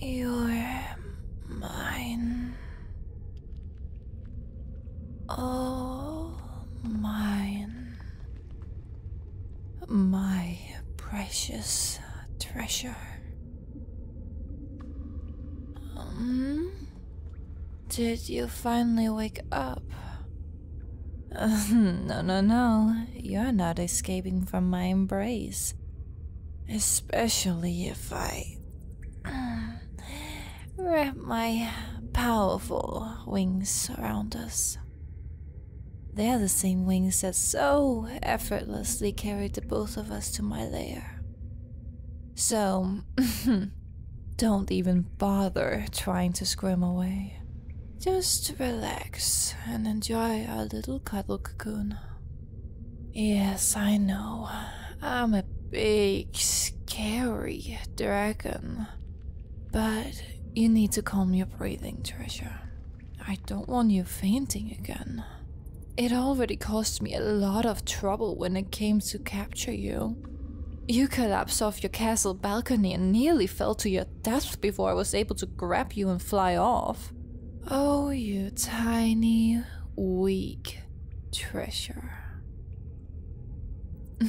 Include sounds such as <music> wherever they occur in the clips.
You're mine. All mine. My precious treasure. Um, did you finally wake up? <laughs> no, no, no. You're not escaping from my embrace. Especially if I <clears throat> wrap my powerful wings around us. They are the same wings that so effortlessly carried the both us to my lair. So, <laughs> don't even bother trying to squirm away. Just relax and enjoy our little cuddle cocoon. Yes, I know. I'm a big, scary dragon. But you need to calm your breathing, treasure. I don't want you fainting again. It already cost me a lot of trouble when it came to capture you. You collapsed off your castle balcony and nearly fell to your death before I was able to grab you and fly off. Oh, you tiny, weak treasure. <laughs>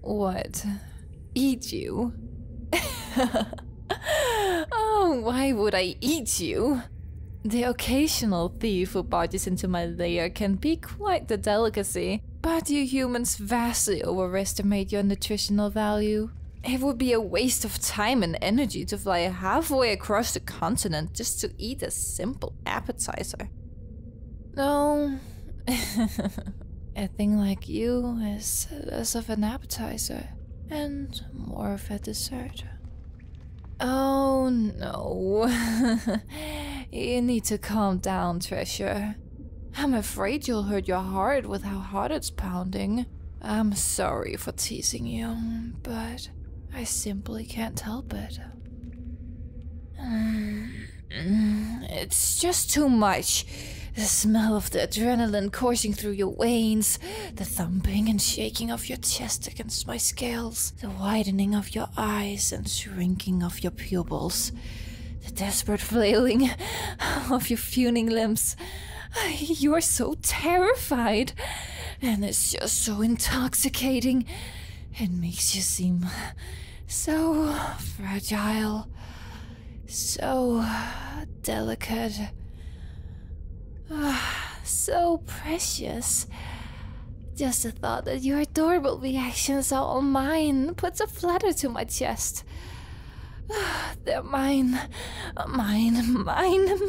what? Eat you? <laughs> <laughs> oh, why would I eat you? The occasional thief who barges into my lair can be quite the delicacy, but you humans vastly overestimate your nutritional value. It would be a waste of time and energy to fly halfway across the continent just to eat a simple appetizer. No, oh, <laughs> a thing like you is less of an appetizer and more of a dessert. Oh no. <laughs> you need to calm down, Treasure. I'm afraid you'll hurt your heart with how hard it's pounding. I'm sorry for teasing you, but I simply can't help it. Mm, it's just too much. The smell of the adrenaline coursing through your veins, the thumping and shaking of your chest against my scales, the widening of your eyes and shrinking of your pupils, the desperate flailing <laughs> of your fuming limbs. You are so terrified, and it's just so intoxicating. It makes you seem so fragile, so delicate. <sighs> so precious. Just the thought that your adorable reactions are all mine puts a flutter to my chest. <sighs> They're mine, mine, mine, mine.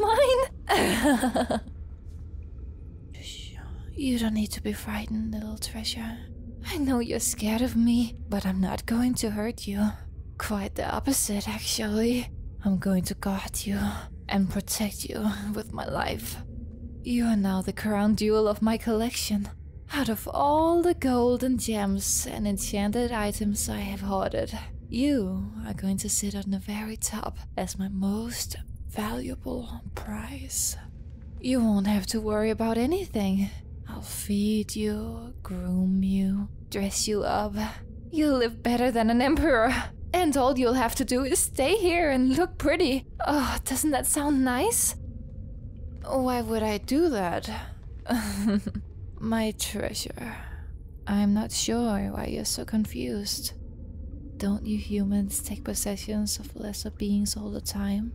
<laughs> you don't need to be frightened, little treasure. I know you're scared of me, but I'm not going to hurt you. Quite the opposite, actually. I'm going to guard you and protect you with my life. You are now the crown jewel of my collection. Out of all the gold and gems and enchanted items I have hoarded, you are going to sit on the very top as my most valuable prize. You won't have to worry about anything. I'll feed you, groom you, dress you up, You'll live better than an emperor. And all you'll have to do is stay here and look pretty. Oh, doesn't that sound nice? Why would I do that? <laughs> My treasure. I'm not sure why you're so confused. Don't you humans take possessions of lesser beings all the time?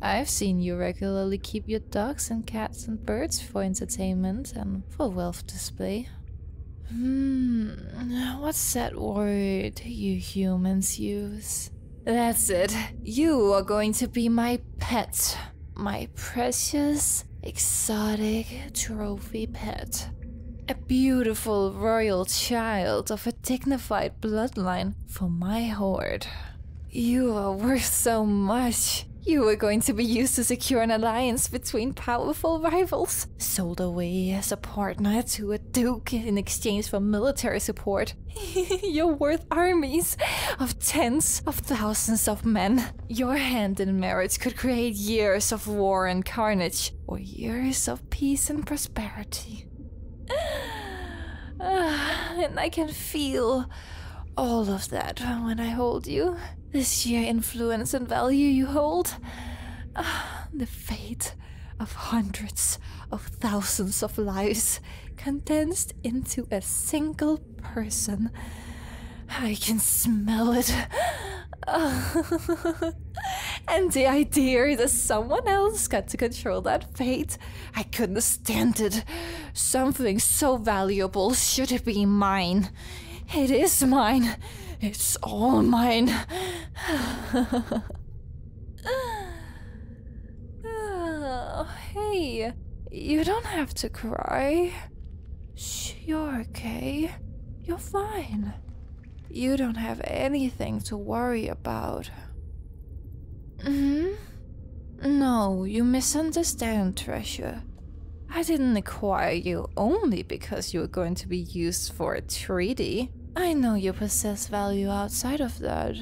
I've seen you regularly keep your dogs and cats and birds for entertainment and for wealth display. Hmm, what's that word you humans use? That's it. You are going to be my pet. My precious, exotic trophy pet. A beautiful royal child of a dignified bloodline for my horde. You are worth so much you were going to be used to secure an alliance between powerful rivals, sold away as a partner to a duke in exchange for military support. <laughs> You're worth armies of tens of thousands of men. Your hand in marriage could create years of war and carnage, or years of peace and prosperity. <sighs> Ah, and I can feel all of that when I hold you. This sheer influence and value you hold. Ah, the fate of hundreds of thousands of lives condensed into a single person. I can smell it. Ah. <laughs> and the idea that someone else got to control that fate, I couldn't stand it. Something so valuable should have been mine. It is mine. It's all mine. Oh, hey, you don't have to cry. you're okay. You're fine. You don't have anything to worry about. Mm-hmm. No, you misunderstand, Treasure. I didn't acquire you only because you were going to be used for a treaty. I know you possess value outside of that.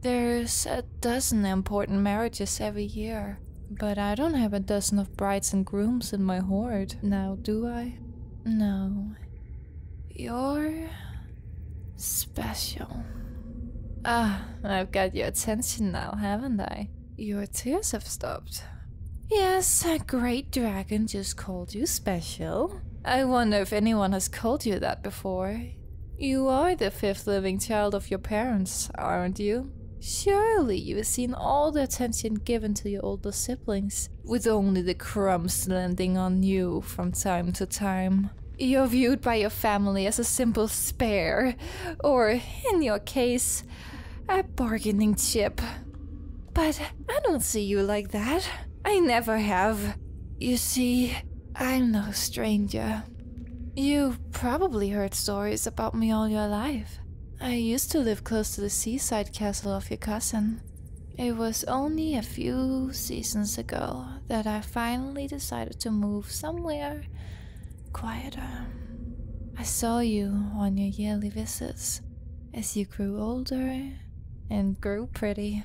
There's a dozen important marriages every year, but I don't have a dozen of brides and grooms in my horde now, do I? No. You're... special. Ah, I've got your attention now, haven't I? Your tears have stopped. Yes, a great dragon just called you special. I wonder if anyone has called you that before. You are the fifth living child of your parents, aren't you? Surely you've seen all the attention given to your older siblings, with only the crumbs landing on you from time to time. You're viewed by your family as a simple spare, or, in your case, a bargaining chip. But I don't see you like that. I never have. You see, I'm no stranger. You've probably heard stories about me all your life. I used to live close to the seaside castle of your cousin. It was only a few seasons ago that I finally decided to move somewhere quieter. Um, I saw you on your yearly visits as you grew older and grew pretty.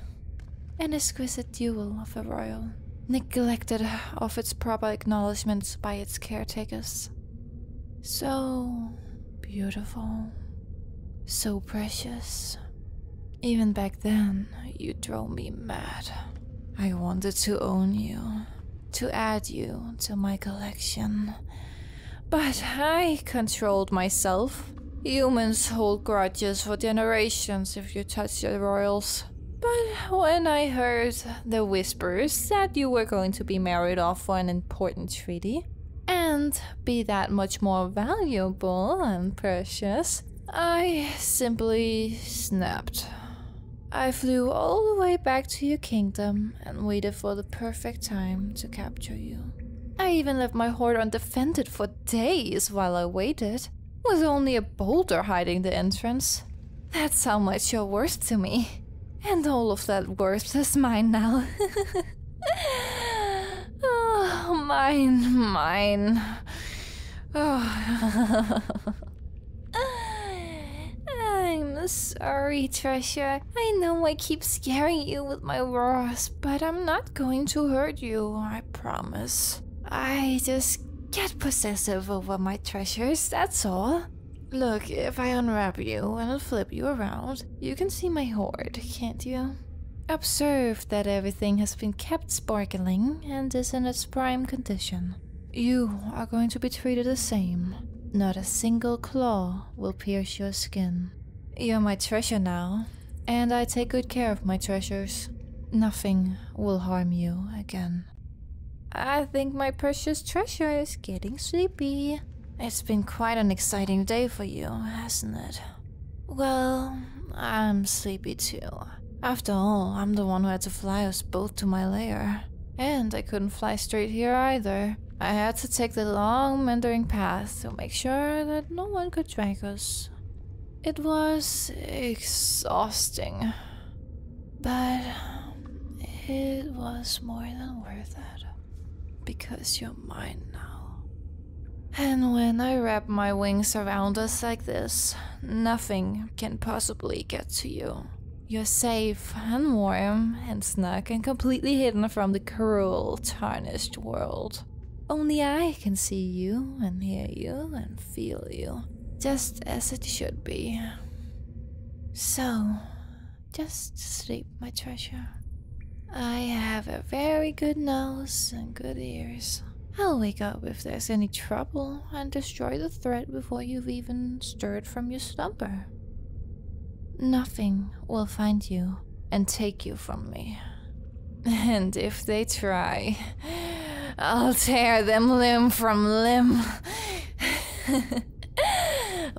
An exquisite jewel of a royal, neglected of its proper acknowledgments by its caretakers. So beautiful, so precious. Even back then, you drove me mad. I wanted to own you, to add you to my collection. But I controlled myself. Humans hold grudges for generations if you touch the royals. But when I heard the whispers that you were going to be married off for an important treaty, and be that much more valuable and precious, I simply snapped. I flew all the way back to your kingdom and waited for the perfect time to capture you. I even left my hoard undefended for days while I waited, with only a boulder hiding the entrance. That's how much you're worth to me. And all of that worth is mine now. <laughs> oh, mine, mine. Oh. <laughs> <sighs> I'm sorry, Trisha. I know I keep scaring you with my roars, but I'm not going to hurt you, I promise. I just get possessive over my treasures, that's all. Look, if I unwrap you and i flip you around, you can see my hoard, can't you? Observe that everything has been kept sparkling and is in its prime condition. You are going to be treated the same. Not a single claw will pierce your skin. You're my treasure now, and I take good care of my treasures. Nothing will harm you again. I think my precious treasure is getting sleepy. It's been quite an exciting day for you, hasn't it? Well, I'm sleepy too. After all, I'm the one who had to fly us both to my lair. And I couldn't fly straight here either. I had to take the long meandering path to make sure that no one could track us. It was exhausting, but it was more than worth it because you're mine now. And when I wrap my wings around us like this, nothing can possibly get to you. You're safe and warm and snug and completely hidden from the cruel, tarnished world. Only I can see you and hear you and feel you, just as it should be. So, just sleep, my treasure. I have a very good nose and good ears. I'll wake up if there's any trouble and destroy the threat before you've even stirred from your slumber. Nothing will find you and take you from me. And if they try, I'll tear them limb from limb. <laughs>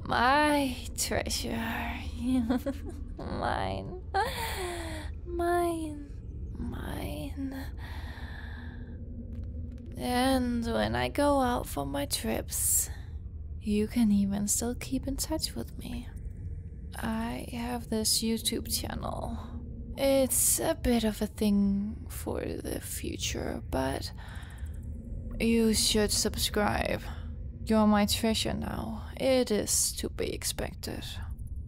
My treasure. <laughs> mine. Mine. Mine. And when I go out for my trips, you can even still keep in touch with me. I have this YouTube channel. It's a bit of a thing for the future, but you should subscribe. You're my treasure now. It is to be expected.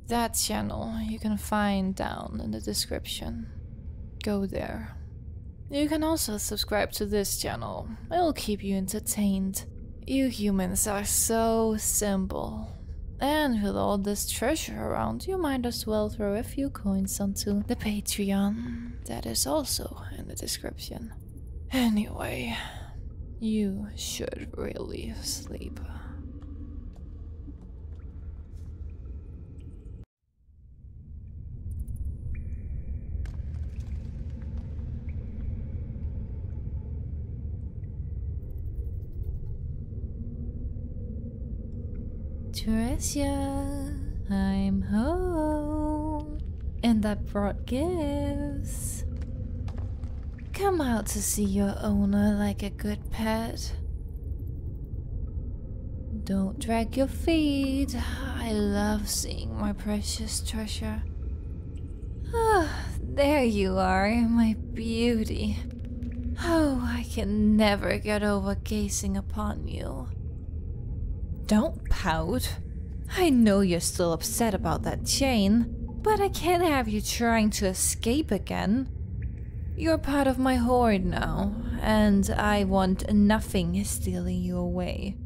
That channel you can find down in the description. Go there. You can also subscribe to this channel, it'll keep you entertained. You humans are so simple. And with all this treasure around, you might as well throw a few coins onto the Patreon. That is also in the description. Anyway, you should really sleep. Teresa, I'm home. And I brought gifts. Come out to see your owner like a good pet. Don't drag your feet. I love seeing my precious treasure. Ah, there you are, my beauty. Oh, I can never get over gazing upon you. Don't pout. I know you're still upset about that chain, but I can't have you trying to escape again. You're part of my horde now, and I want enough. Thing is stealing you away.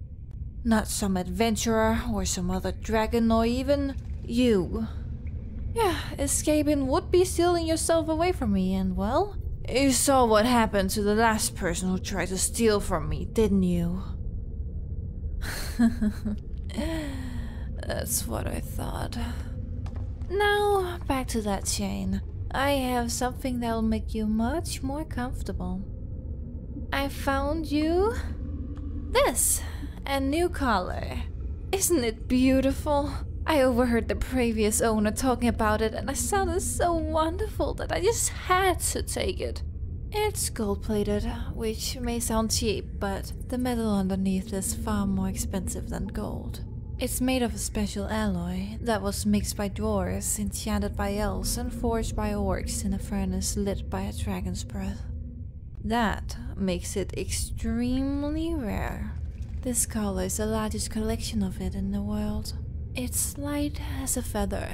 Not some adventurer or some other dragon or even you. Yeah, escaping would be stealing yourself away from me and well, you saw what happened to the last person who tried to steal from me, didn't you? <laughs> That's what I thought. Now, back to that chain. I have some that'll make you much more comfortable. I found you this a new collar. Isn't it beautiful? I overheard the previous owner talking about it and I sounded so wonderful that I just had to take it. It's gold plated, which may sound cheap, but the metal underneath is far more expensive than gold. It's made of a special alloy, that was mixed by dwarves, enchanted by elves, and forged by orcs in a furnace lit by a dragon's breath. That makes it extremely rare. This color is the largest collection of it in the world. It's light as a feather,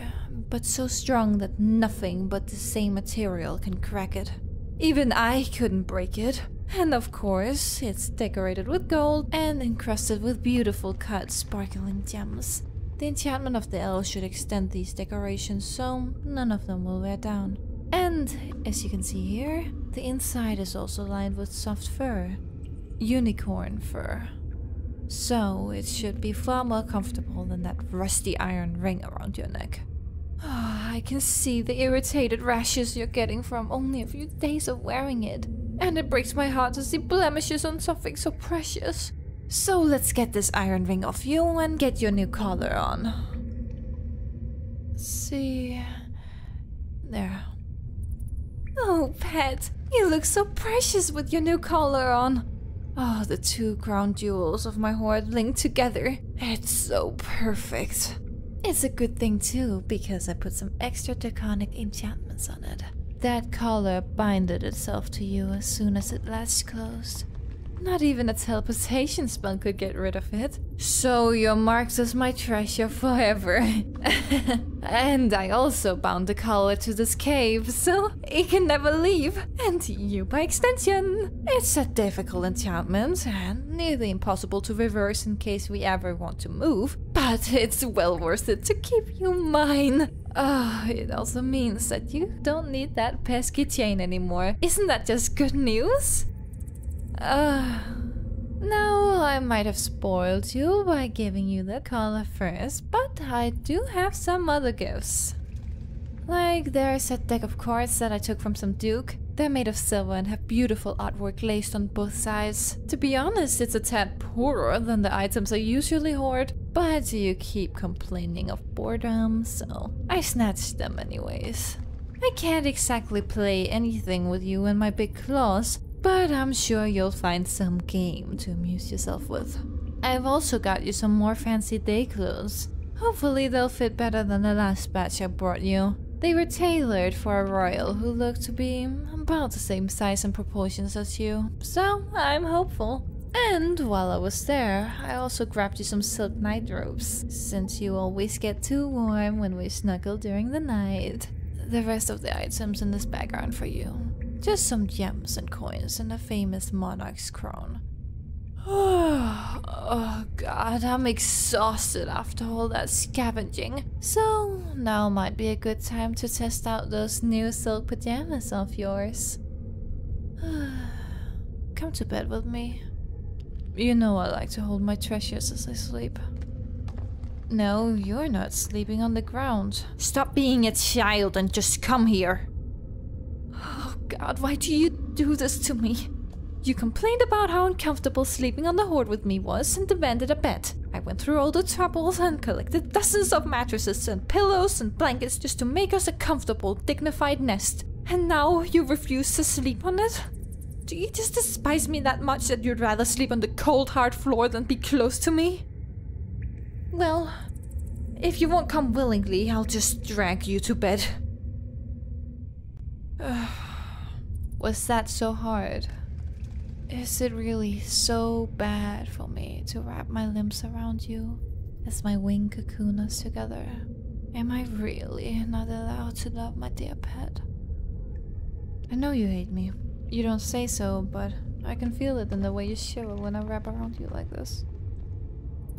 but so strong that nothing but the same material can crack it. Even I couldn't break it. And of course, it's decorated with gold and encrusted with beautiful cuts sparkling gems. The enchantment of the elves should extend these decorations so none of them will wear down. And, as you can see here, the inside is also lined with soft fur. Unicorn fur. So, it should be far more comfortable than that rusty iron ring around your neck. Oh, <sighs> I can see the irritated rashes you're getting from only a few days of wearing it, and it breaks my heart to see blemishes on something so precious. So let's get this iron ring off you and get your new collar on. See... There. Oh, pet, you look so precious with your new collar on. Oh, the two crown jewels of my hoard linked together. It's so perfect. It's a good thing too, because I put some extra draconic enchantments on that collar binded itself to you as soon as it last closed. Not even a teleportation spell could get rid of it. So your marks as my treasure forever. <laughs> and I also bound the collar to this cave, so it can never leave. And you by extension. It's a difficult enchantment and nearly impossible to reverse in case we ever want to move. But it's well worth it to keep you mine. Oh, it also means that you don't need that pesky chain anymore. Isn't that just good news? Uh, now, I might have spoiled you by giving you the collar first, but I do have some other gifts. Like, there's that deck of cards that I took from some duke. They're made of silver and have beautiful artwork glazed on both sides to be honest, it's a tad poorer than the items I usually hoard, but you keep complaining of boredom, so I snatched them anyways. I can't exactly play anything with you and my big claws, but I'm sure you'll find some game to amuse yourself with. I've also got you some more fancy day clothes. Hopefully they'll fit better than the last batch I brought you. They were tailored for a royal who looked to be about the same size and proportions as you. So, I'm hopeful. And while I was there, I also grabbed you some silk night robes, since you always get too warm when we snuggle during the night. The rest of the items in this bag are for you. Just some gems and coins and a famous monarch's crown. <sighs> oh god, I'm exhausted after all that scavenging. So, now might be a good time to test out those new silk pajamas of yours. <sighs> Come to bed with me. You know I like to hold my treasures as I sleep. No, you're not sleeping on the ground. Stop being a child and just come here. Oh god, why do you do this to me? You complained about how uncomfortable sleeping on the hoard with me was and demanded a bed. I went through all the troubles and collected dozens of mattresses and pillows and blankets just to make us a comfortable, dignified nest. And now you refuse to sleep on it? Do you just despise me that much that you'd rather sleep on the cold, hard floor than be close to me? Well, if you won't come willingly, I'll just drag you to bed. <sighs> Was that so hard? Is it really so bad for me to wrap my limbs around you as my wing cocoon us together? Am I really not allowed to love my dear pet? I know you hate me. You don't say so, but I can feel it in the way you shiver when I wrap around you like this.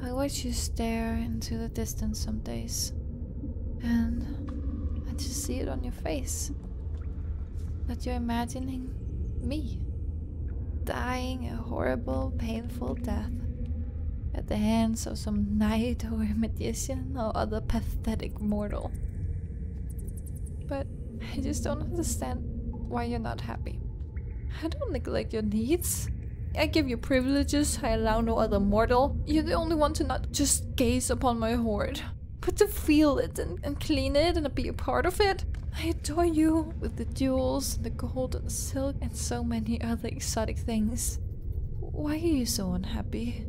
I watch you stare into the distance some days, and I just see it on your face is that you're imagining me dying a horrible, painful death at the hands of some knight or magician or other pathetic mortal. But I just don't understand why you're not happy. I don't neglect your needs. I give you privileges I allow no other mortal. You're the only one to not just gaze upon my hoard but to feel it and, clean it and be a part of it. I adore you with the jewels, and the gold, and the silk, and so many other exotic things. Why are you so unhappy?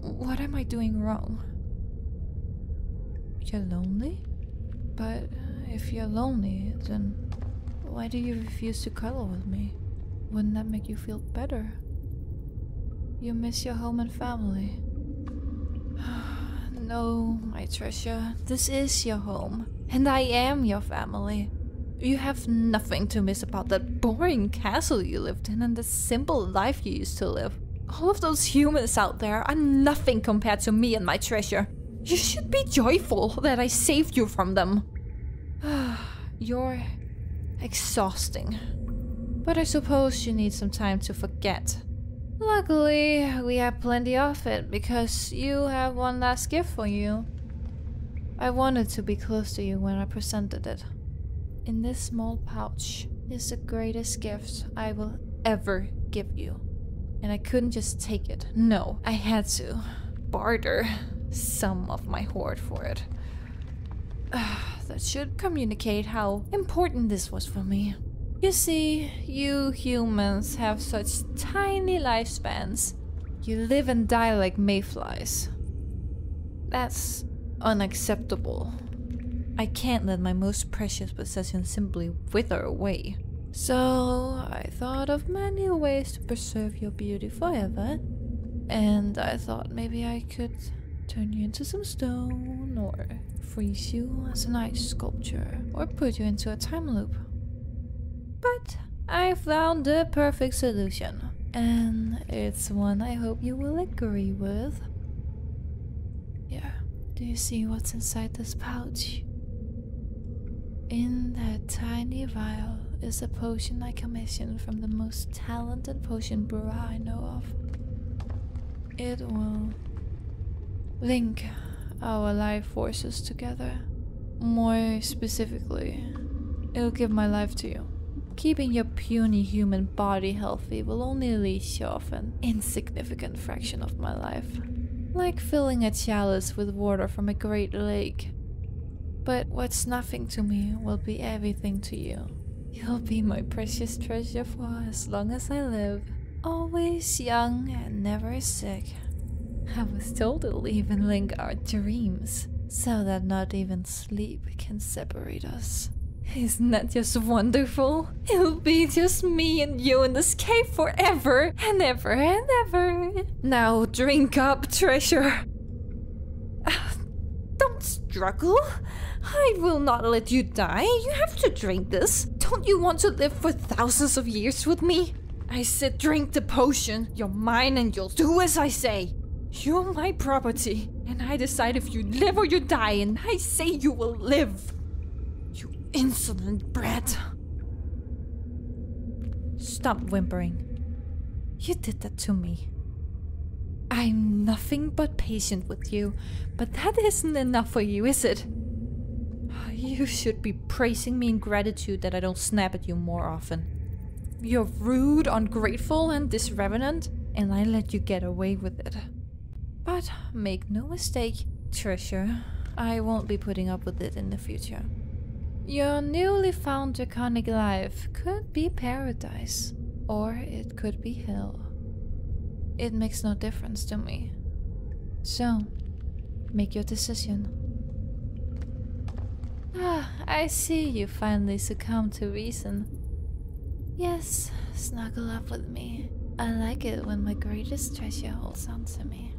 What am I doing wrong? You're lonely? But if you're lonely, then why do you refuse to cuddle with me? Wouldn't that make you feel better? You miss your home and family. <sighs> no, my treasure, this is your home, and I am your family. You have nothing to miss about that boring castle you lived in and the simple life you used to live. All of those humans out there are nothing compared to me and my treasure. You should be joyful that I saved you from them. <sighs> You're exhausting. But I suppose you need some time to forget Luckily, we have plenty of it because you have one last gift for you. I wanted to be close to you when I presented it. In this small pouch is the greatest gift I will ever give you. And I couldn't just take it. No, I had to barter some of my hoard for it. <sighs> that should communicate how important this was for me. You see, you humans have such tiny lifespans. You live and die like mayflies. That's unacceptable. I can't let my most precious possession simply wither away. So, I thought of many ways to preserve your beauty forever. And I thought maybe I could turn you into some stone or freeze you as a nice sculpture or put you into a time loop. But I found the perfect solution, and it's one I hope you will agree with. Yeah, do you see what's inside this pouch? In that tiny vial is a potion I commissioned from the most talented potion brewer I know of. It will link our life forces together. More specifically, it'll give my life to you. Keeping your puny human body healthy will only leech off an insignificant fraction of my life. Like filling a chalice with water from a great lake. But what's nothing to me will be everything to you. You'll be my precious treasure for as long as I live. Always young and never sick. I was told to will even link our dreams, so that not even sleep can separate us. Isn't that just wonderful? It'll be just me and you in this cave forever and ever and ever. Now drink up, treasure. <sighs> Don't struggle. I will not let you die, you have to drink this. Don't you want to live for thousands of years with me? I said drink the potion. You're mine and you'll do as I say. You're my property. And I decide if you live or you die, and I say you will live. You insolent brat. Stop whimpering. You did that to me. I'm nothing but patient you, but that isn't enough for you, is it? You should be praising me in gratitude that I don't snap at you more often. You're rude, ungrateful, and disreverent, and I let you get away with it. But make no mistake, Treasure, I won't be putting up with it in the future. Your newly found draconic life could be paradise, or it could be hell. It makes no difference to me. So, make your decision. Ah, I see you finally succumb to reason. Yes, snuggle up with me. I like it when my greatest treasure holds on to me.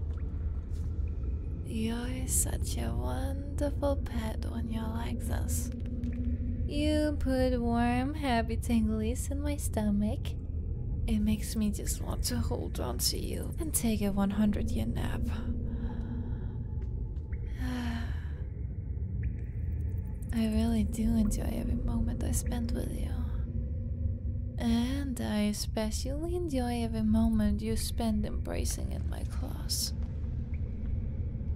You're such a wonderful pet when you're like this. You put warm, happy tinglies in my stomach. It makes me just want to hold on to you and take a 100 year nap. <sighs> I really do enjoy every moment I spend with you. And I especially enjoy every moment you spend embracing in my claws.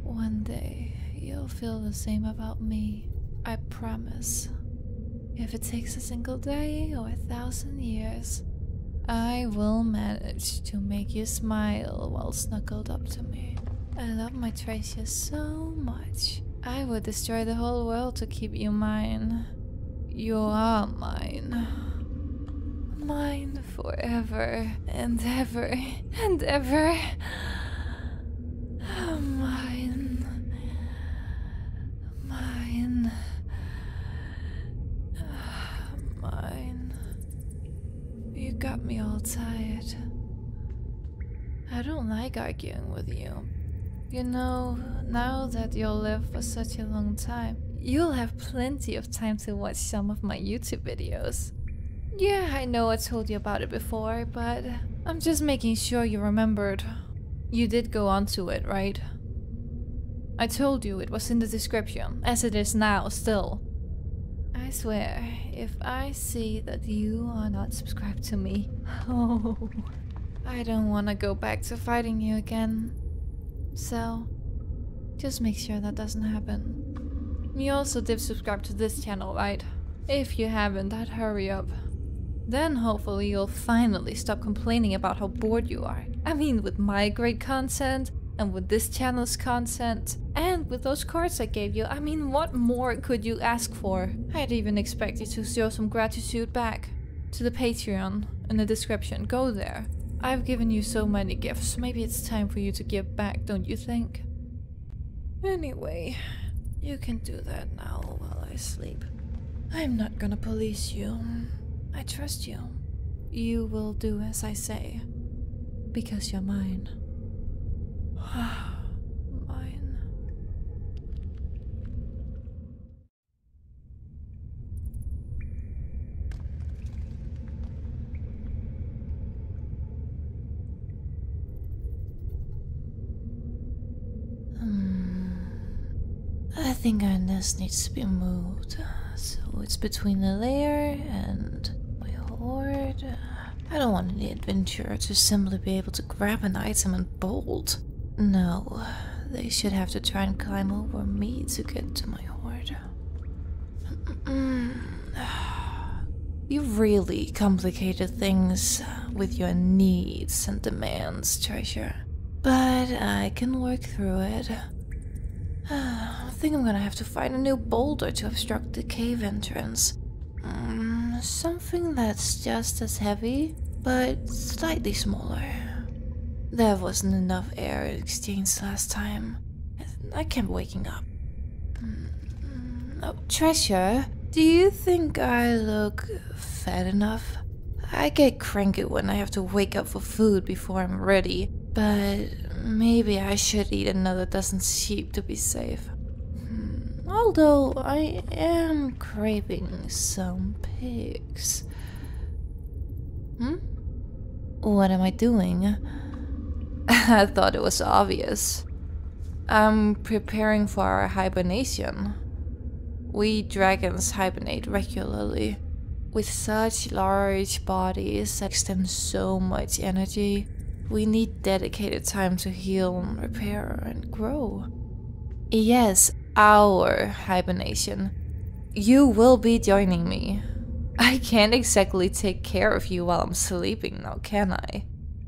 One day, you'll feel the same about me. I promise. If it takes a single day or a thousand years, I will manage to make you smile while snuggled up to me. I love my treasure so much. I would destroy the whole world to keep you mine. You are mine. Mine forever and ever and ever. Mine. Mine. Mine. You got me all tied. I don't like arguing with you. You know, now that you'll live for such a long time, you'll have plenty of time to watch some of my YouTube videos. Yeah, I know I told you about it before, but I'm just making sure you remembered. You did go onto it, right? I told you it was in the description, as it is now still. I swear, if I see that you are not subscribed to me, <laughs> oh, I don't want to go back to fighting you again. So, just make sure that doesn't happen. You also did subscribe to this channel, right? If you haven't, I'd hurry up. Then hopefully you'll finally stop complaining about how bored you are. I mean, with my great content, and with this channel's content, and with those cards I gave you, I mean, what more could you ask for? I'd even expect you to show some gratitude back. To the Patreon, in the description, go there. I've given you so many gifts, maybe it's time for you to give back, don't you think? Anyway, you can do that now while I sleep. I'm not gonna police you. I trust you. You will do as I say. Because you're mine. <sighs> mine. Um, I think our nest needs to be moved. So it's between the layer and my hoard. I don't want the adventurer to simply be able to grab an item and bolt. No, they should have to try and climb over me to get to my hoard. You've really complicated things with your needs and demands, Treasure. But I can work through it. <sighs> I think I'm gonna have to find a new boulder to obstruct the cave entrance. Mm, something that's just as heavy, but slightly smaller. There wasn't enough air exchange last time. I kept waking up. Oh, treasure, do you think I look fat enough? I get cranky when I have to wake up for food before I'm ready, but maybe I should eat another dozen sheep to be safe. Hmm, although I am craving some pigs. Hmm? What am I doing? <laughs> I thought it was obvious. I'm preparing for our hibernation. We dragons hibernate regularly. With such large bodies that extend so much energy, we need dedicated time to heal, and repair, and grow. Yes, our hibernation. You will be joining me. I can't exactly take care of you while I'm sleeping now, can I?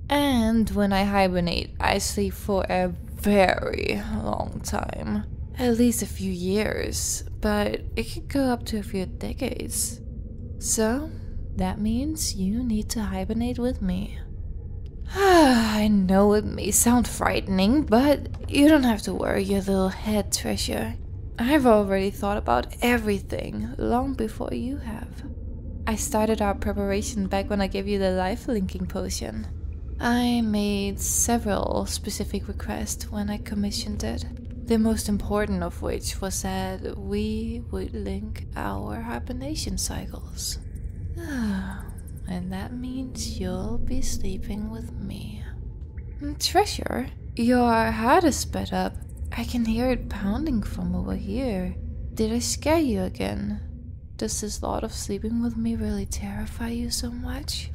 And when I hibernate, I sleep for a very long time. At least a few years, but it can go up to a few decades. So, that means you need to hibernate with me. <sighs> I know it may sound frightening, but you don't have to worry your little head treasure. I've already thought about everything long before you have. I started our preparation back when I gave you the life linking potion. I made several specific requests when I commissioned it, the most important of which was that we would link our hibernation cycles. <sighs> and that means you'll be sleeping with me. Hmm, Treasure, your heart is sped up. I can hear it pounding from over here. Did I scare you again. Does this thought of sleeping with me really terrify you so much?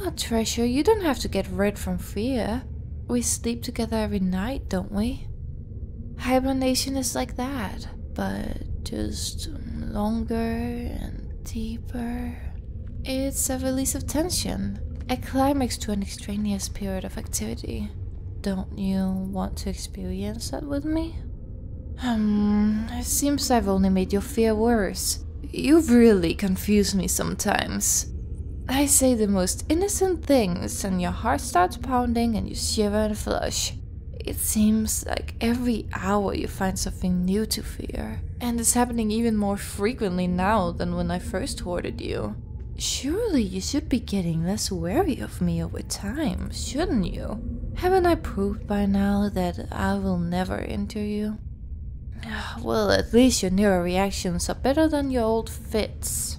Oh, Treasure, you don't have to get rid from fear. We sleep together every night, don't we? Hibernation is like that, but just longer and deeper. It's a release of tension, a climax to an extraneous period of activity. Don't you want to experience that with me? Hmm, it seems I've only made your fear worse. You really confuse me sometimes. I say the most innocent things and your heart starts pounding and you shiver and flush. It seems like every hour you find something new to fear. And it's happening even more frequently now than when I first hoarded you. Surely you should be getting less wary me over time, shouldn't you? Haven't I proved by now that I will never injure you? <sighs> Well, at least your neural reactions are better than your old fits.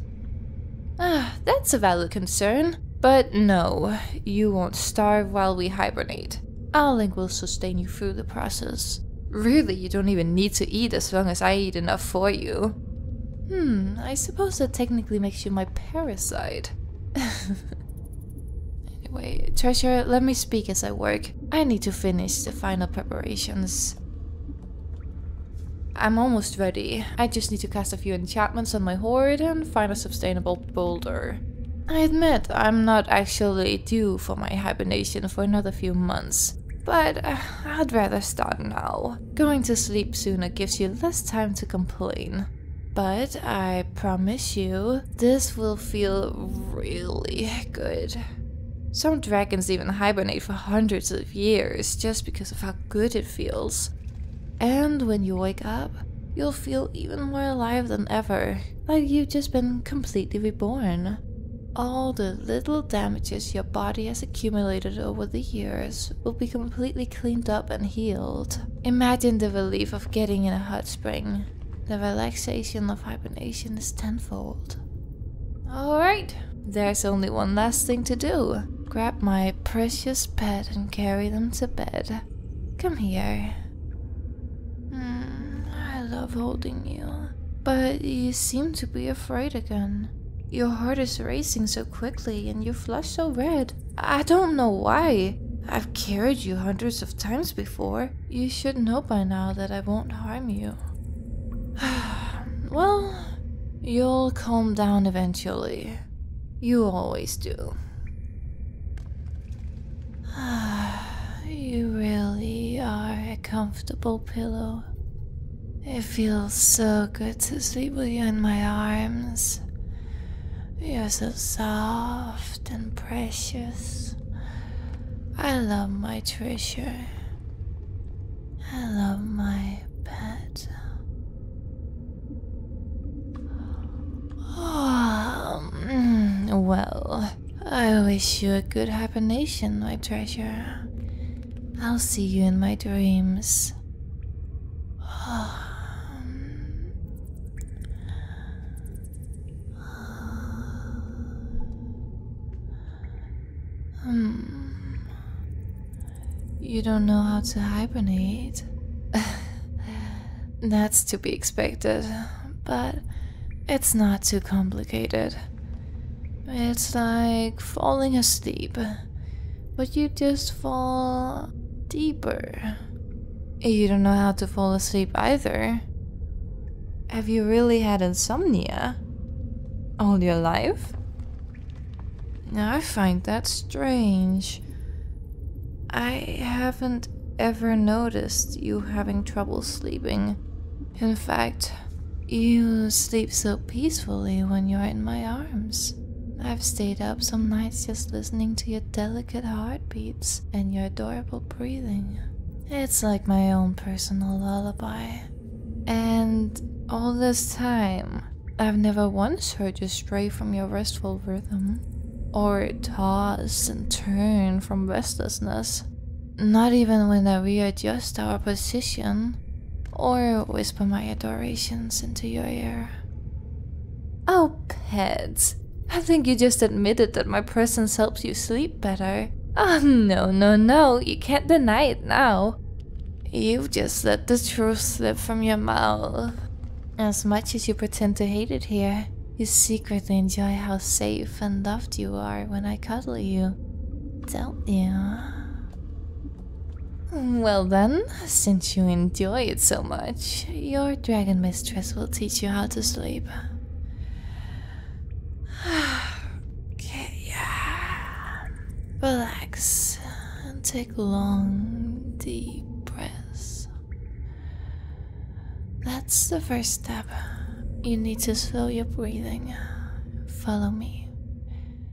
<sighs> Ah, that's a valid concern. But no, you won't starve while we hibernate. Our link will sustain you through the process. Really, you don't even need to eat as long as I eat enough for you. Hmm, I suppose that technically makes you my parasite. <laughs> anyway, Treasure, let me speak as I work. I need to finish the final preparations. I'm almost ready. I just need to cast a few enchantments on my hoard and find a sustainable boulder. I admit, I'm not actually due for my hibernation for another few months, but uh, I'd rather start now going to sleep sooner gives you less time to complain. But I promise you, this will feel really good. Some dragons even hibernate for hundreds of years just because of how good it feels. And when you wake up, you'll feel even more alive than ever, like you've just been completely reborn. All the little damages your body has accumulated over the years will be completely cleaned up and healed. Imagine the relief of getting in a hot spring. The relaxation of hibernation is tenfold. Alright, there's only one last thing to do. Grab my precious pet and carry them to bed. Come here. Hmm, I love holding you. But you seem to be afraid again. Your heart is racing so quickly and your flush so red. I don't know why. I've carried you hundreds of times before. You should know by now that I won't harm you. <sighs> well, you'll calm down eventually. You always do. <sighs> you really are a comfortable pillow. It feels so good to sleep with you in my arms. You're so soft and precious. I love my treasure. I love my pet. Oh, well, I wish you a good hibernation, my treasure. I'll see you in my dreams. You don't know how to hibernate. <laughs> That's to be expected, but it's not too complicated. It's like falling asleep but you just fall deeper. You don't know how to fall asleep either. Have you really had insomnia? All your life? Now I find that strange. I haven't ever noticed you having trouble sleeping. In fact, you sleep so peacefully when you're in my arms. I've stayed up some nights just listening to your delicate heartbeats and your adorable breathing. It's like my own personal lullaby. And all this time, I've never once heard you stray from your restful rhythm, or toss and turn from restlessness. Not even when I readjust our position, or whisper my adorations into your ear. Oh, pets. I think you just admitted that my presence helps you sleep better. Oh, no, no, no, you can't deny it now. You've just let the truth slip from your mouth. As much as you pretend to hate it here, you secretly enjoy how safe and loved you are when I cuddle you, don't you? Well then, since you enjoy it so much, your dragon mistress will teach you how to sleep. <sighs> okay, relax and take long, deep breaths. That's the first step. You need to slow your breathing. Follow me.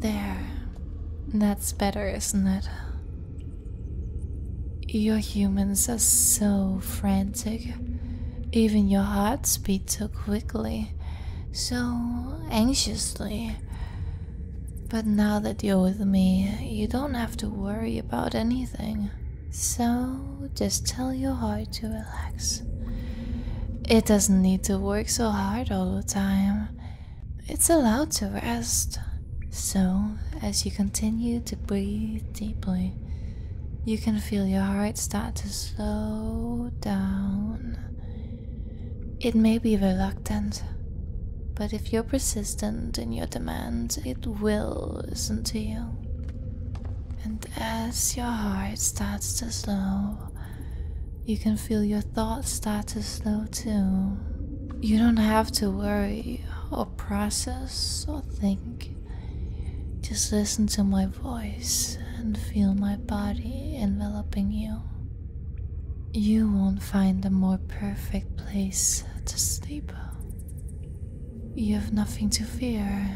There. That's better, isn't it? Your humans are so frantic. Even your hearts beat so quickly, so anxiously. But now that you're with me, you don't have to worry about anything. So just tell your heart to relax. It doesn't need to work so hard all the time. It's allowed to rest. So, as you continue to breathe deeply, you can feel your heart start to slow down. It may be reluctant, but if you're persistent in your demand, it will listen to you. And as your heart starts to slow, you can feel your thoughts start to slow too. You don't have to worry or process or think. Just listen to my voice and feel my body enveloping you. You won't find a more perfect place to sleep. You have nothing to fear.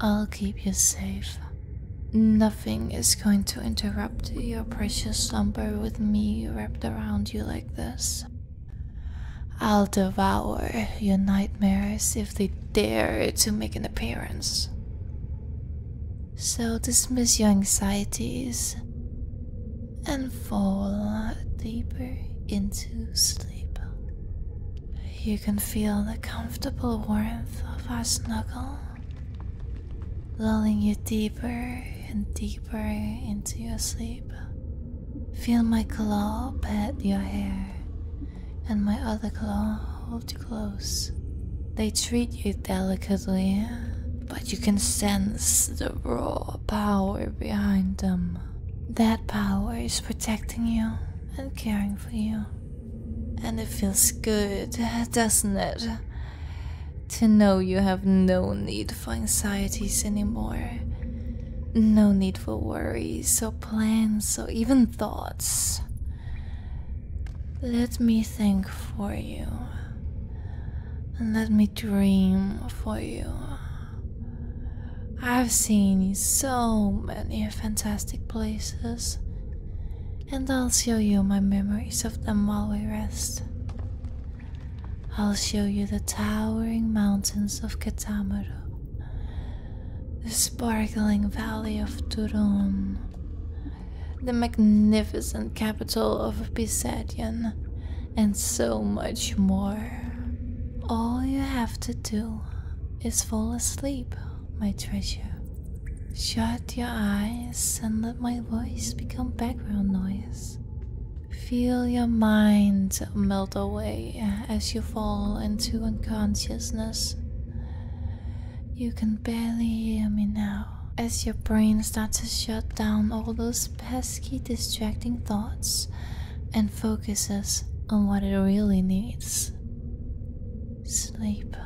I'll keep you safe. Nothing is going to interrupt your precious slumber with me wrapped around you like this. I'll devour your nightmares if they dare to make an appearance. So dismiss your anxieties and fall deeper into sleep. You can feel the comfortable warmth of our snuggle lulling you deeper and deeper into your sleep. Feel my claw pat your hair and my other claw hold you close. They treat you delicately, but you can sense the raw power behind them. That power is protecting you and caring for you. And it feels good, doesn't it? To know you have no need for anxieties anymore. No need for worries or plans or even thoughts. Let me think for you. And let me dream for you. I've seen so many fantastic places and I'll show you my memories of them while we rest. I'll show you the towering mountains of Katamaro, the sparkling valley of Turon, the magnificent capital of Pisadian, and so much more. All you have to do is fall asleep my treasure. Shut your eyes and let my voice become background noise. Feel your mind melt away as you fall into unconsciousness. You can barely hear me now as your brain starts to shut down all those pesky, distracting thoughts and focuses on what it really needs sleep.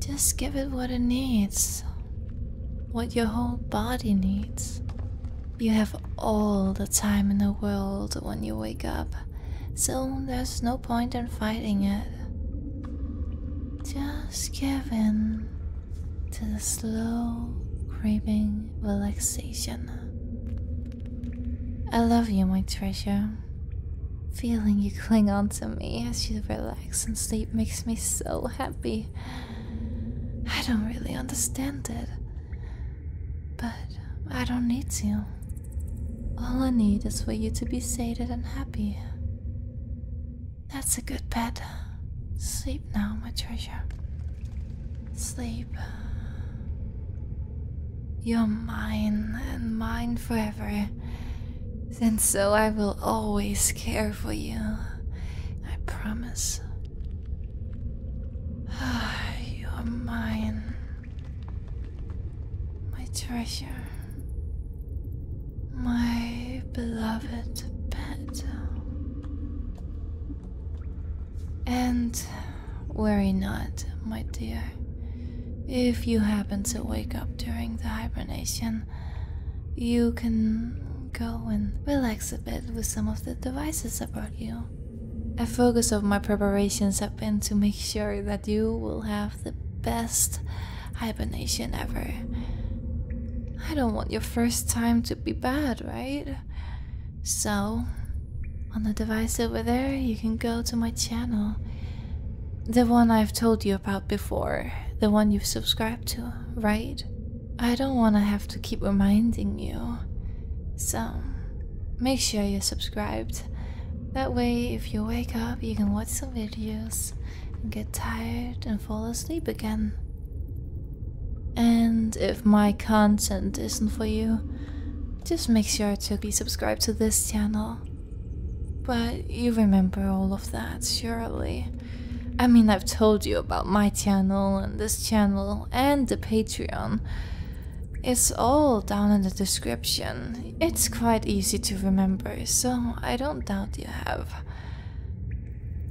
Just give it what it needs, what your whole body needs. You have all the time in the world when you wake up, so there's no point in fighting it. Just give in to the slow, creeping relaxation. I love you, my treasure. Feeling you cling on to me as you relax and sleep makes me so happy. I don't really understand it, but I don't need to. All I need is for you to be sated and happy. That's a good bed. Sleep now, my treasure. Sleep. You're mine and mine forever, and so I will always care for you. I promise. <sighs> You're mine, my treasure, my beloved pet. And worry not, my dear. If you happen to wake up during the hibernation, you can go and relax a bit with some of the devices about you. A focus of my preparations have been to make sure that you will have the best hibernation ever. I don't want your first time to be bad, right? So, on the device over there, you can go to my channel the one I've told you about before, the one you've subscribed to, right? I don't want to have to keep reminding you. So, make sure you're subscribed. That way, if you wake up, you can watch some videos and get tired and fall asleep again. And if my content isn't for you, just make sure to be subscribed to this channel. But you remember all of that, surely. I mean, I've told you about my channel and this channel and the Patreon. It's all down in the description. It's quite easy to remember, so I don't doubt you have.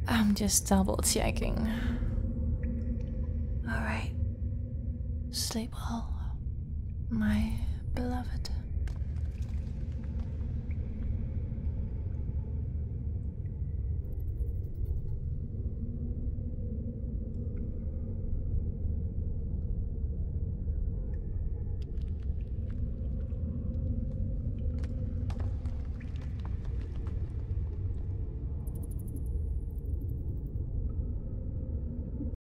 I'm just double checking. Alright. Sleep well, my beloved.